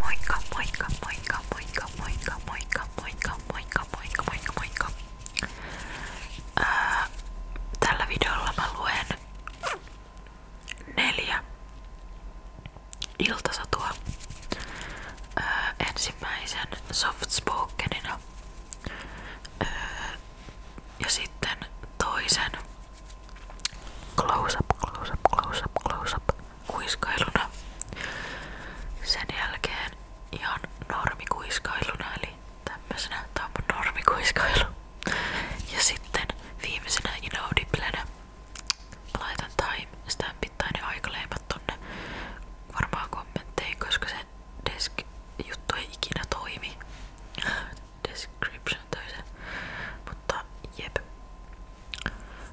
Moikka, moikka, moikka, moikka, moikka, moikka, moikka, moikka, moikka, moikka, moikka. Ää, tällä videolla mä luen neljä iltasatua ää, ensimmäisen soft spokenina ää, ja sitten toisen close up, close up, close up, close up kuiskailuna. Sen jälkeen ihan normikuiskailuna, eli tämmöisenä tämä on mun normikuiskailu. Ja sitten viimeisenä inaudiblena laitan time stampit tai ne aikaleimat tonne varmaan desk juttu ei toimi. Description toisen. Mutta jep.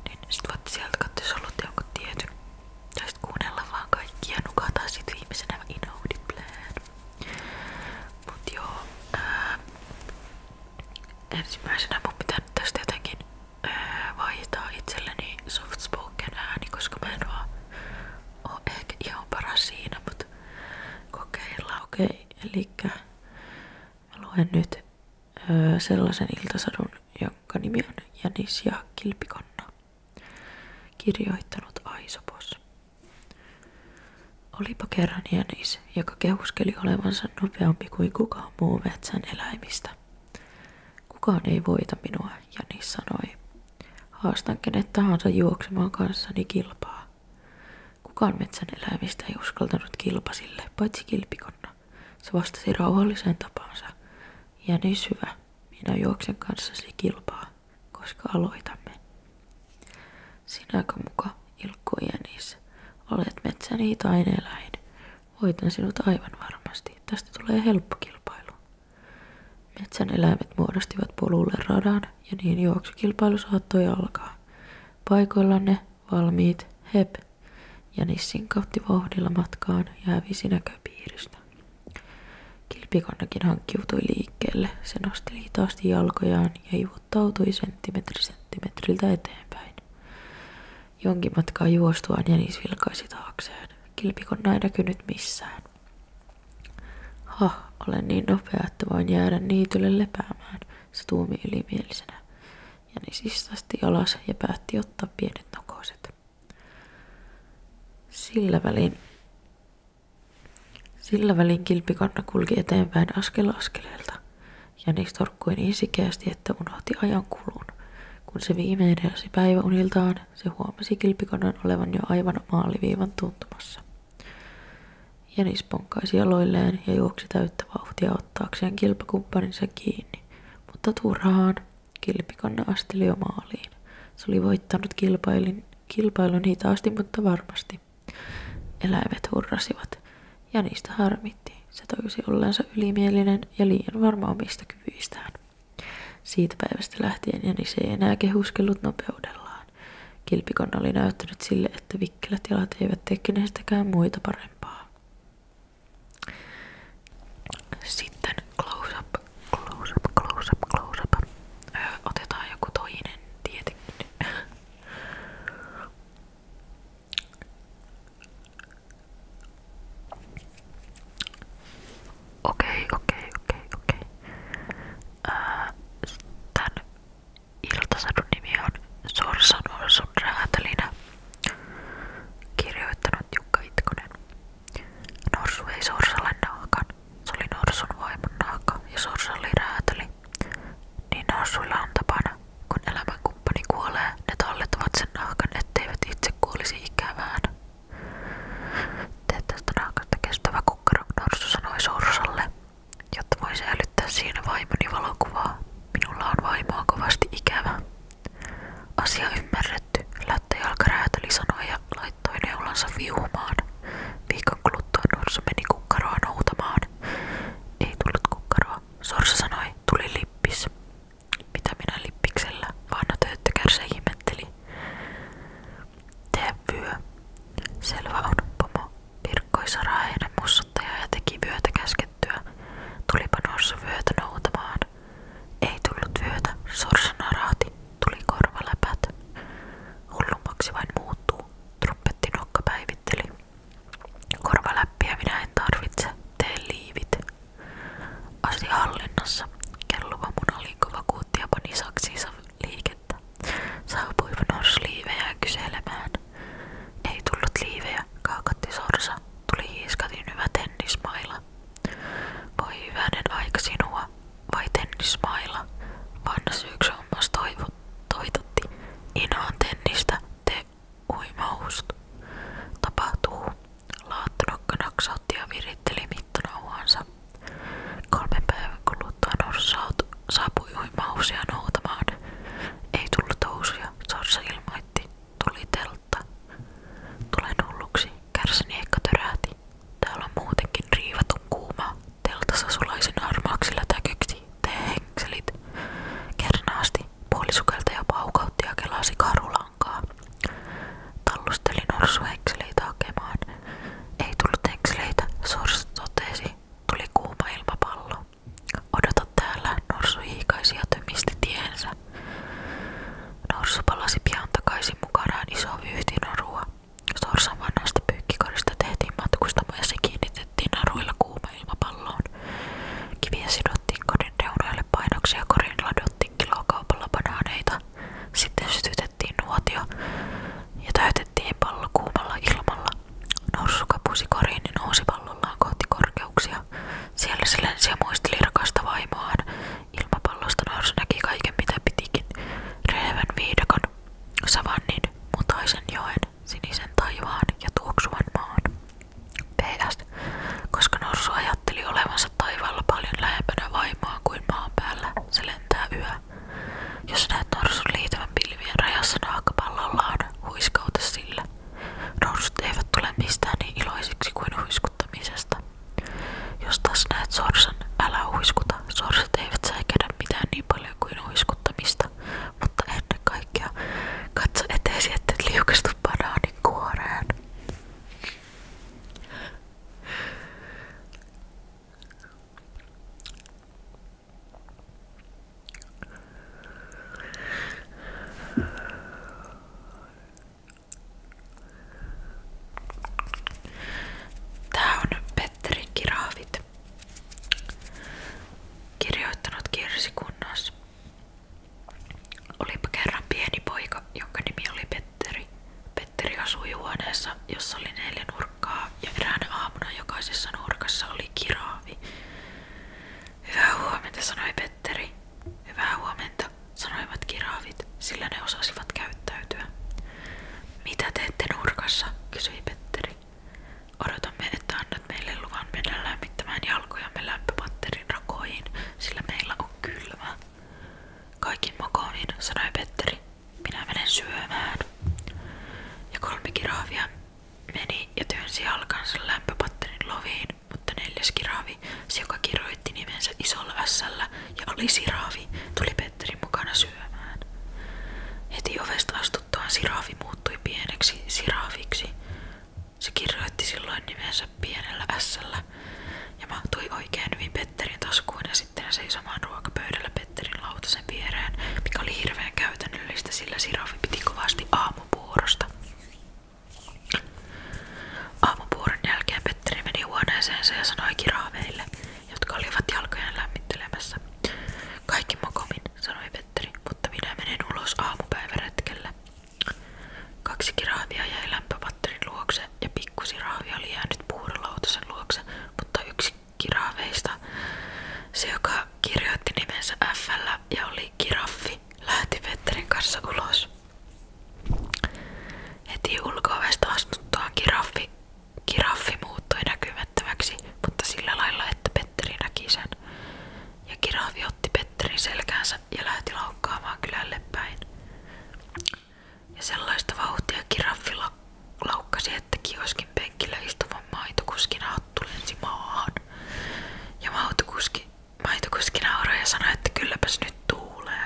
Niin sit voitte sieltä katsoa, jos haluatte jonkun tietyn. Tai sit kuunnella vaan kaikkia nukata sit viimeisenä inaudi plan. Mut joo. Ää, ensimmäisenä mun pitää nyt tästä jotenkin ää, vaihtaa itselleni soft spoken ääni, koska mä en vaan oo ehkä ihan paras siinä, mut kokeillaan okei. Okay. Elikkä mä luen nyt öö, sellaisen iltasadun, jonka nimi on Janis ja Kilpikonna. Kirjoittanut Aisopos. Olipa kerran Janis, joka kehuskeli olevansa nopeampi kuin kukaan muu metsän eläimistä. Kukaan ei voita minua, Janis sanoi. Haastan kenet tahansa juoksemaan kanssani kilpaa. Kukaan metsän eläimistä ei uskaltanut kilpasille, paitsi kilpikonna. Se vastasi rauhalliseen tapaansa. Ja niin syvä, minä juoksen kanssasi kilpaa, koska aloitamme. Sinäkö muka, Ilkko Jänis, olet metsän hitain eläin. Voitan sinut aivan varmasti. Tästä tulee helppo kilpailu. Metsän eläimet muodostivat polulle radan ja niin juoksukilpailu saattoi alkaa. Paikoillanne valmiit, hep, ja nissinkautti vauhdilla matkaan ja hävisi näköpiiristä. Kilpikannakin hankkiutui liikkeelle, se nosteli hitaasti jalkojaan ja ivuttautui senttimetri senttimetriltä eteenpäin. Jonkin matkaa juostuaan Jänis vilkaisi taakseen. Kilpikonna ei näkynyt missään. Ha, olen niin nopea, että voin jäädä niitylle lepäämään – se tuumi ylimielisenä. Jänis istasti alas ja päätti ottaa pienet nokoset. Sillä välin, sillä välin kilpikanna kulki eteenpäin askel askeleelta. Jänis torkkui niin sikeästi, että unohti ajan kulun. Kun se viimein heräsi päiväuniltaan, se huomasi kilpikannan olevan jo aivan maaliviivan tuntumassa. Jenis ponkaisi jaloilleen ja juoksi täyttä vauhtia ottaakseen kilpakumppaninsa kiinni, mutta turhaan. Kilpikanne asteli jo maaliin. Se oli voittanut kilpailin, kilpailun hitaasti, mutta varmasti. Eläimet hurrasivat. Jänistä harmitti. Se tajusi olleensa ylimielinen ja liian varma omista kyvyistään. Siitä päivästä lähtien Jänis ei enää kehuskellut nopeudellaan. Kilpikonna oli näyttänyt sille, että vikkelät jalat eivät tekkineestäkään muita parempaa. Sitten close up, close up, close up, close up. Öö, otetaan joku toinen tietenkin. Okei, okei, okei, okei. Tän Iltasadun nimi on Sorsa Norsun räätälinä, kirjoittanut Jukka Itkonen. Norsu ei Sorsalle naakan, se oli Norsun vaimon naakka ja Sorsa oli räätäli. Niin Norsuilla on tapana, kun elämänkumppani kuolee, ne tallettavat sen nahkan, etteivät itse kuolisi ikävään. Tee tästä naakasta kestävä kukkaro, Norsu sanoi Sorsalle. Jotta voisi älyttää siinä vaimoni valokuvaa, minulla on vaimoa kovasti ikävä. Asia ymmärretty, lättöjalkaräätöli sanoi ja laittoi neulansa viuhumaan. Viikon kuluttua norsu meni kukkaroa noutamaan. Ei tullut kukkaroa. Sorsa sanoi, tuli lippis. Mitä minä lippiksellä? Vanna tööttökärsä ihmetteli. Tee vyö. Selvä on, pomo. Virkkoisa raheinen mussuttaja ja teki vyötä käskettyä. Tulipa norsu vyötä noutamaan. Ei tullut vyötä, sorsa narahti, tuli korvaläpät. Hullummaksi vain muuttuu, trumpetti nokka päivitteli. Korvaläppiä minä en tarvitse, tee liivit. Asi hallinnassa, kelluva munaliikko vakuutti ja pani saksiinsa liike että saapui kyselemään. Ei tullut liivejä, kaakatti tuli hiiskatin hyvä tennismailla. Voi hyvänen aika sinua, vai tennismailla, vanna syyksi hommas toitotti. Inoon te uimauhust. Tapahtuu. Laattonokka naksautti ja viritteli mittanauhansa. Kolmen päivän kuluttua norsu saapui uimahousia noutamaan. Ei tullut housuja, Sorsa ilmoitti. Tuli teltta. Tulen hulluksi, kärsin ehkä törähti. Täällä on muutenkin riivatun kuuma. Teltassa sulaisin harmaaksilla täkyksi. Tee henkselit. Kernaasti puolisukeltaja paukautti ja kelasi karulankaa. Tallusteli norsuhenkseleitä hakemaan. Ei tullut henkseleitä, Sors totesi. Tuli kuuma ilmapallo. Odota täällä, norsu hiikaisi Norsu palasi pian takaisin mukanaan iso vyyhtinorua. Sorsan vanhasta pyykkikorista tehtiin matkustamo ja se kiinnitettiin naruilla kuuma ilmapalloon. Kiviä sidottiin kodin reunoille painoksia ja korin ladottiin kilokaupalla banaaneita, sitten sytytettiin nuotio ja täytettiin pallo kuumalla ilmalla. Norsuka pusi koriin ja niin nousi pallollaan kohti korkeuksia. Siellä se muisteli rakasta vaimoaan. Ilmapallosta norsu näki kaiken mitä pitikin. Rehevän viidakon, savannin, mutaisen joen, sinisen taivaan ja tuoksuvan maan. PS. Koska norsu ajatteli olevansa taivaalla paljon lähempänä vaimaa kuin maan päällä, lentää yöllä. Jos näet norsun liitävän pilvien rajassa naakkapallollaan, niin huiskauta sillä. Norsut eivät tule mistään niin iloisiksi kuin huiskuttamisesta. Jos taas näet sorsan, älä huiskuta. Sorsat eivät säikädä mitään niin paljon kuin huiskuttamista. Mutta ennen kaikkea katso eteesi, ettei liukastu banaanin kuoreen. Tää on Petterin Kiraavit. Kirjoittanut Kirsi Kunnas. Olipa kerran pieni poika, jonka nimi oli Petteri. Petteri asui huoneessa, jossa oli neljä nurkkaa ja eräänä aamuna jokaisessa nurkassa oli kiraavi. Hyvää huomenta, sanoi Petteri. Hyvää huomenta, sanoivat kiraavit, sillä ne osasivat käyttäytyä. Mitä teette nurkassa, kysyi Petteri. Odotamme, että annat meille luvan mennä lämmittämään jalkojamme lämpöpatterin rakoihin, sillä meillä on kylmä, Kaikin mokooniin, sanoi Petteri. Minä menen syömään. Ja kolme kirahvia meni ja työnsi jalkansa lämpöpatterin loviin, mutta neljäs kirahvi, se joka kirjoitti nimensä isolla ässällä ja oli siraavi, tuli Petteri mukana syömään. Heti ovesta astuttuaan siraavi muuttui pieneksi siraaviksi. Se kirjoitti silloin nimensä pienellä ässällä pöydällä ja mahtui oikein hyvin Petterin taskuun ja sitten ne seisoi ruokapöydällä Petterin lautasen viereen, mikä oli hirveän käytännöllistä, sillä Sirafi piti kovasti aamupuurosta. Aamupuuron jälkeen Petteri meni huoneeseensa ja sanoi kiraaveille, jotka olivat jalkojen lämmittelemässä. Kaikki mokomin, sanoi Petteri, mutta minä menen ulos aamupäiväretkelle. Kaksi kiraavia jäi lämpö patterin luokse ja pikkusirahvi oli jäänyt puurolautasen luokse, mutta yksi kirahveista, se joka kirjoitti nimensä FL ja oli kiraffi, lähti Petterin kanssa ulos. Heti ulkoovesta astuttuaan kiraffi, kiraffi muuttui näkymättömäksi, mutta sillä lailla, että Petteri näki sen. Ja kirahvi otti Petterin selkäänsä ja lähti laukkaamaan kylälle päin. Ja sellaista vauhtia kiraffi laukkasi, että kioskin penkillä istuvan maitokuskin hattu lensi maahan. Ja maitokuski, maitokuski nauraa ja sanoi, että kylläpäs nyt tuulee.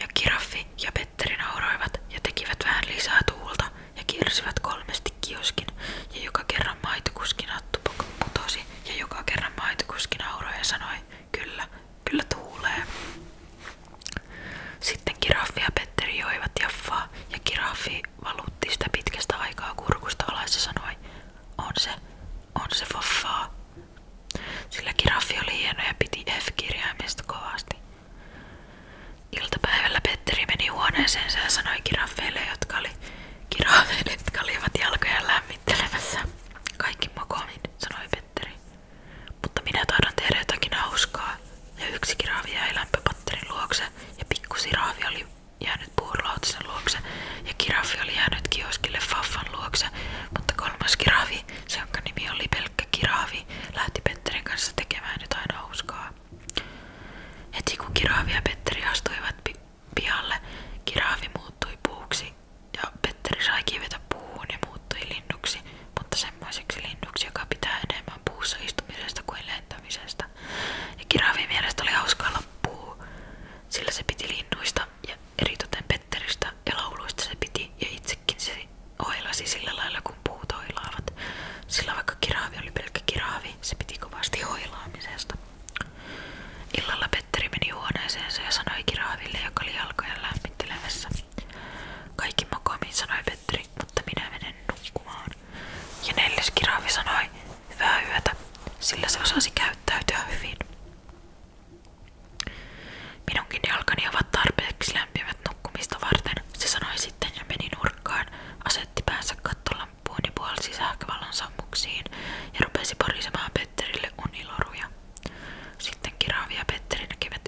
Ja kiraffi ja Petteri nauroivat ja tekivät vähän lisää tuulta ja kiersivät kolmesti kioskin. Ja joka kerran maitokuskin hattu putosi ja joka kerran maitokuski nauroi ja sanoi, kyllä, Kyllä tuulee. Sitten Kiraffi ja Petteri joivat jaffaa ja Kiraffi valutti sitä pitkästä aikaa kurkusta alas ja sanoi, on se, on se foffaa. Sillä Kiraffi oli hieno ja piti F-kirjaimesta kovasti. Iltapäivällä Petteri meni huoneeseensa ja sanoi kiraffeille, jotka, oli, kiraffeille, jotka olivat jalkoja lämmittelemässä. Kaikki mokomin, sanoi Petteri. Mutta minä taidan tehdä jotakin Ja yksi kiraavi jäi lämpöpatterin luokse, ja pikkusiraavi oli jäänyt puurlautisen luokse, ja kiraavi oli jäänyt kioskille Faffan luokse, mutta kolmas kiraavi, se jonka oli pelkkä kiraavi, lähti Petterin kanssa tekemään jotain Heti kun kiraavi ja Petteri astuivat pi pihalle, kiraavi muuttui puuksi ja Petteri sai kivetä puuhun ja muuttui linnuksi, mutta semmoiseksi linnuksi, joka pitää enemmän puussa istumisesta kuin lentämisestä. Ja Kiravin mielestä oli hauska olla puu, sillä se piti linnuista ja eritoten Petteristä ja lauluista se piti ja itsekin se oilasi sillä lailla, kun puut oilaavat. Sillä vaikka kiraavi oli pelkkä kiraavi, se piti kovasti hoilaamisesta. Illalla Petteri meni huoneeseensa ja sanoi Kiraaville, joka oli jalkoja lämmittelemässä. Kaikki makoimiin Petteri, mutta minä menen nukkumaan. Ja neljäs Kiraavi sanoi, hyvää sillä se osasi käyttäytyä hyvin. Minunkin jalkani ovat tarpeeksi lämpimät nukkumista varten, se sanoi sitten ja meni nurkkaan, asetti päänsä kattolamppuun ja puolsi sähkövalon sammuksiin ja rupesi porisemaan Petterille uniloruja. Sitten Kiravi ja Petteri näkivät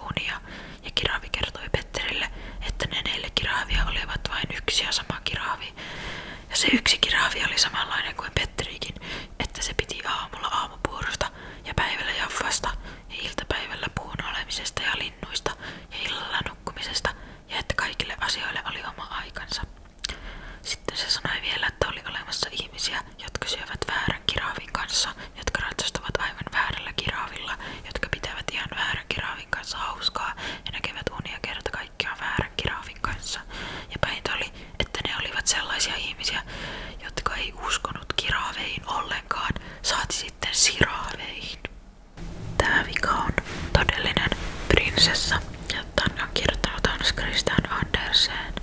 unia, ja Kiravi kertoi Petterille, että ne neljä Kiravia olivat vain yksi sama Kiravi. Ja se yksi Kiravi oli samanlainen kuin Petterikin, että se piti aamulla aamupuurosta ja päivällä jaffasta ja iltapäivällä puun olemisesta ja linnuista ja illalla nukkumisesta ja että kaikille asioille oli oma aikansa. Sitten se sanoi vielä, että oli olemassa ihmisiä, jotka syövät väärän kiraavin kanssa, jotka ratsastavat aivan väärällä kiraavilla, jotka pitävät ihan väärän kiraavin kanssa hauskaa ja näkevät unia kerta kaikkiaan väärän kiraavin kanssa. Ja päintä oli, että ne olivat sellaisia ihmisiä, jotka ei uskonut kiraaveihin ollenkaan, saati sitten siraaveihin. Tää vika on todellinen prinsessa ja Tän on kirjoittanut Hans Christian Andersen. Tällaista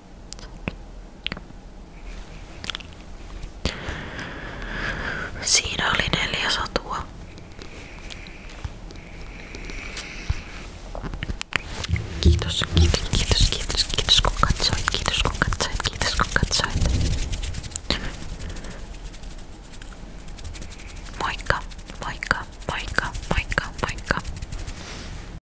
Siinä oli neljä satua. Kiitos, kiitos, kiitos, kiitos, kiitos kun katsoit, kiitos kun katsoit, kiitos kun katsoit. Moikka, moikka, moikka, moikka, moikka.